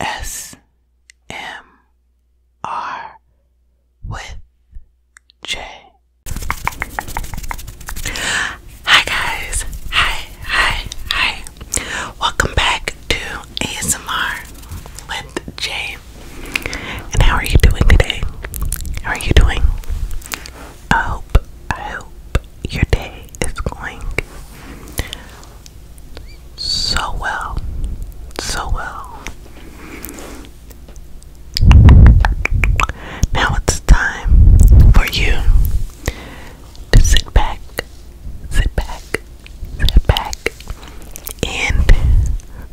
ASMR with J. Hi guys, hi, hi, hi. Welcome back to ASMR with Jay. And how are you doing today? How are you doing? I hope, I hope your day is going so well, so well. Now it's time for you to sit back, sit back, sit back, and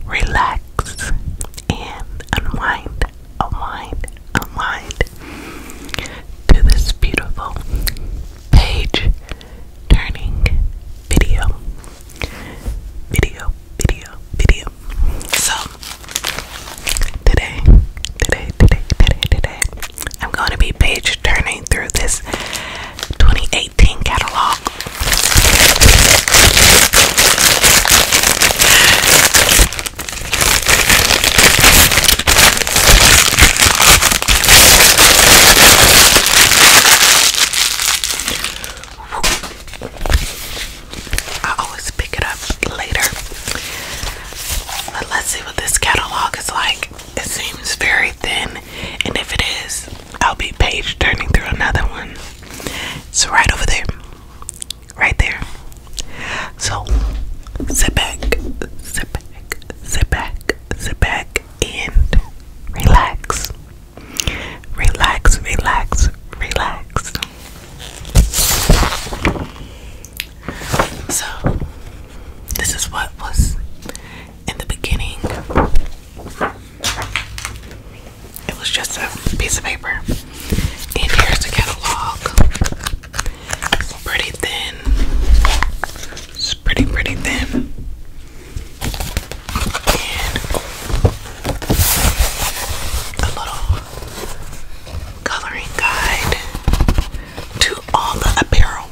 relax and unwind, unwind, unwind to this beautiful page turning video, video, video, video. So, Today, today, today, today, today, I'm going to be page turning through this 2018 catalog. I always pick it up later. But let's see what this catalog is like. It seems very thin, and if it is, I'll be page turning through another one. It's right over there. Right there. So sit back, sit back, sit back, sit back, and relax. Relax, relax, relax. So, this is what was in the beginning. It was just a piece of paper. And here's the catalog. pretty thin. It's pretty, pretty thin. And a little coloring guide to all the apparel.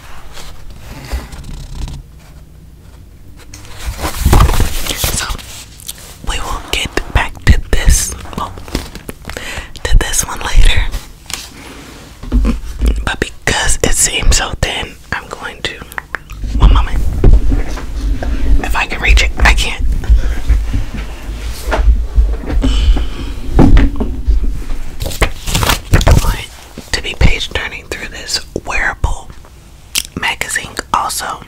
So we will get back to this to this one later. But because it seems so thin, I'm going to one moment. If I can reach it, I can't. to be page turning through this wearable magazine, also.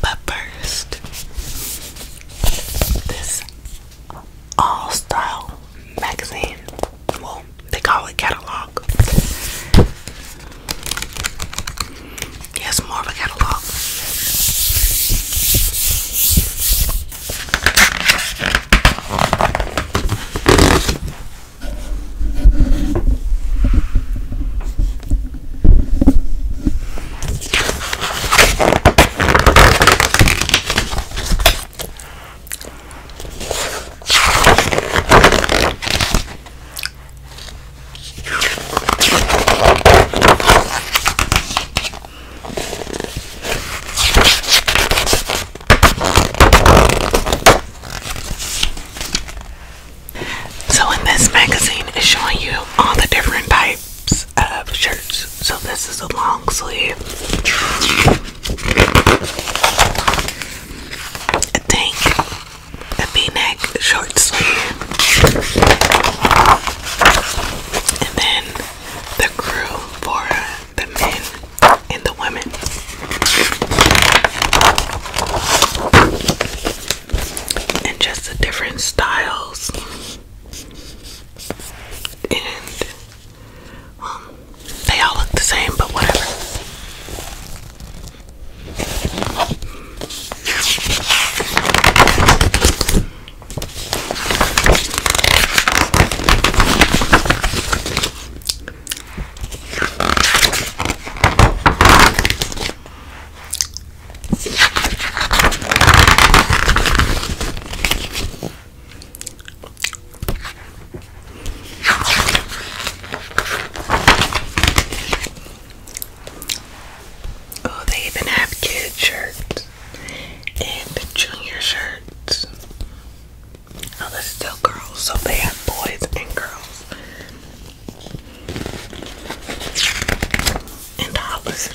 but first, this all style magazine well, they call it catalog. Yes, more of a catalog. So, in this magazine, it's showing you all the different types of shirts. So, this is a long sleeve a tank, a v-neck, short and then the crew for the men and the women. And just the different styles and um, they all look the same, but whatever. Oh, they even have kid shirts and junior shirts. Oh, this still girls, so they have boys and girls. And dollars.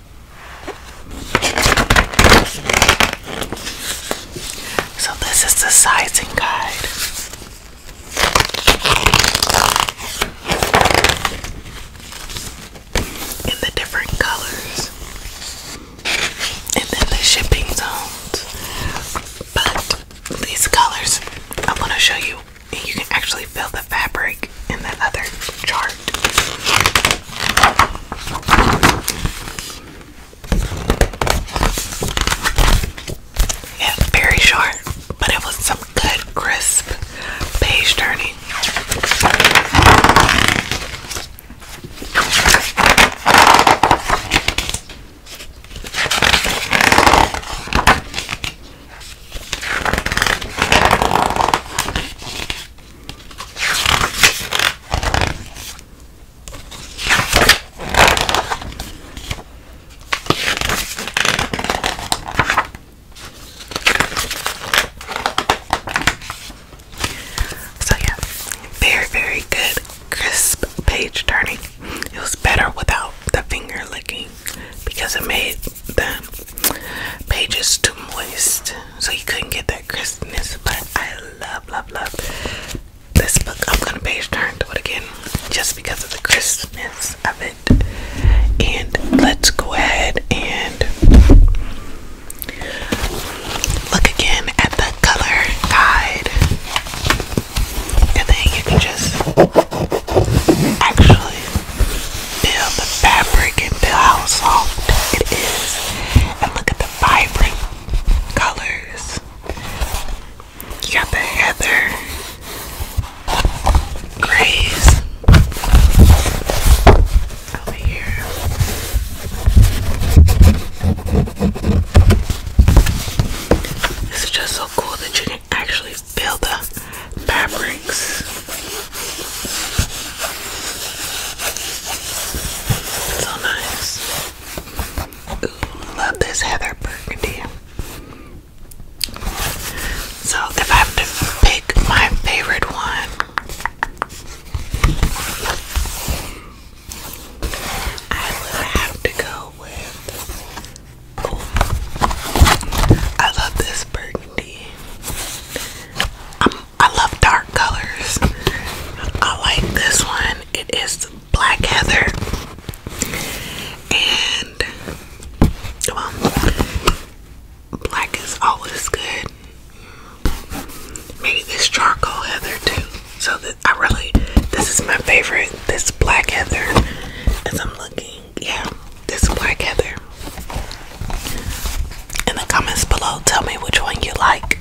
So, this is the sizing guide. In the different colors, and then the shipping zones. But these colors, I want to show you, you can actually feel the fabric in that other chart. Yeah, very short, but it was some good, crisp page turning. So, yeah, very, very good, crisp page turning. It was better without the finger licking because it made the pages too moist, so you couldn't get that crispness. But I love, love, love this book. I'm gonna page turn to it again just because of the crispness of it. And let's go ahead and look again at the color guide, and then you can just actually feel the fabric and feel how soft it is. And look at the vibrant colors. You got the heather, grays over here. It's just so cool that you can actually feel the fabrics. So nice. love this heather burgundy. So if I have to pick my favorite one, I would have to go with. I love this burgundy. I'm I love dark colors. I like this one. It is black heather. And black is always good. Maybe this charcoal heather too. So that I really this is my favorite. This black heather as I'm looking. Yeah, this black heather. In the comments below, tell me which one you like.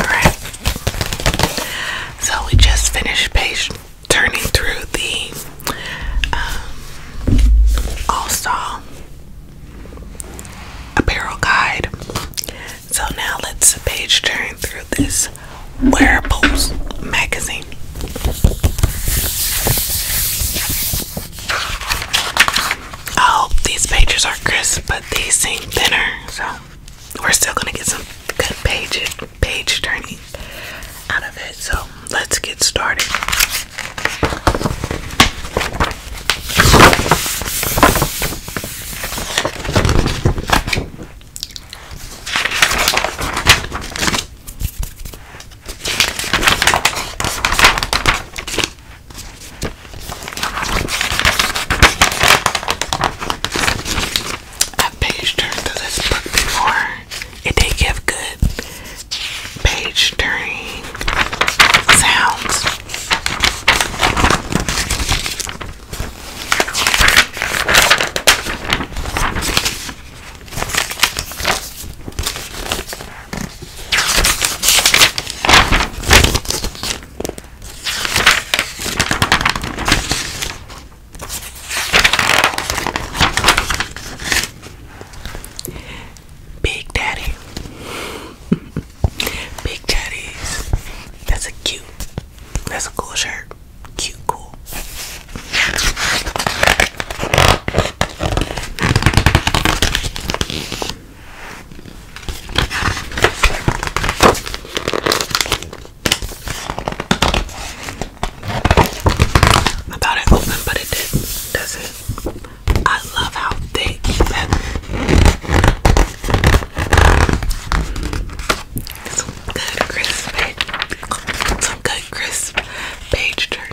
All right. So we just finished page turning through the um, All Star apparel guide. So now let's page turn through this wearables magazine. I these pages are crisp, but these seem thinner, so we're still gonna get some good pages page turning out of it. So let's get started. I've page turned to this book before. It did give good page turning sounds. Big Daddy. Big Daddies. That's a cute. That's a cool shirt. Cute, cool. I thought it opened, but it didn't. Does it? I love how thick It's Some good crisp, page turning.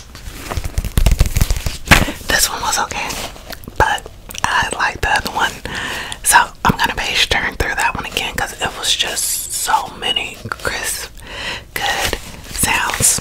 This one was okay, but I like the other one. So I'm gonna page turn through that one again because it was just so many crisp, good sounds.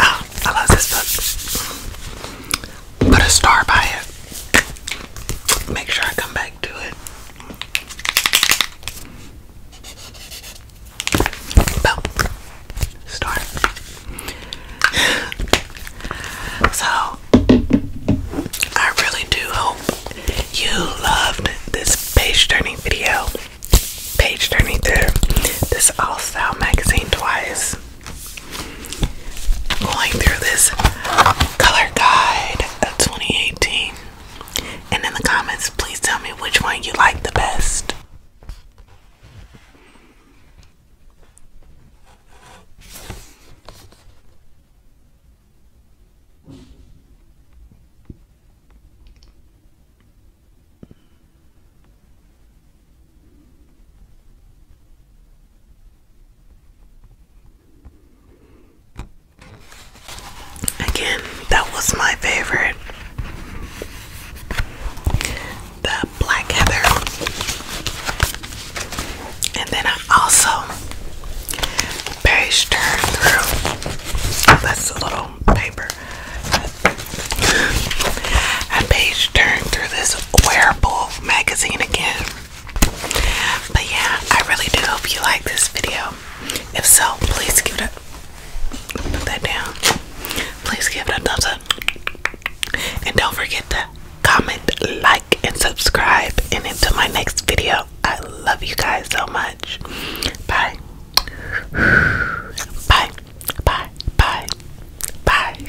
Oh, I love this book. Put a star by it. Make sure I come back to it. Star. So I really do hope you loved this page turning video. Page turning through this All Style magazine twice. Going through this color guide of 2018. And in the comments, please tell me which one you like the best. Again, that was my favorite. The black heather. And then I also page turned through. That's a little paper. I page turned through this wearable magazine again. But yeah, I really do hope you like this video. If so, please give it a that down. Please give it a thumbs up. And don't forget to comment, like, and subscribe. And until my next video, I love you guys so much. Bye. Bye. Bye. Bye. Bye.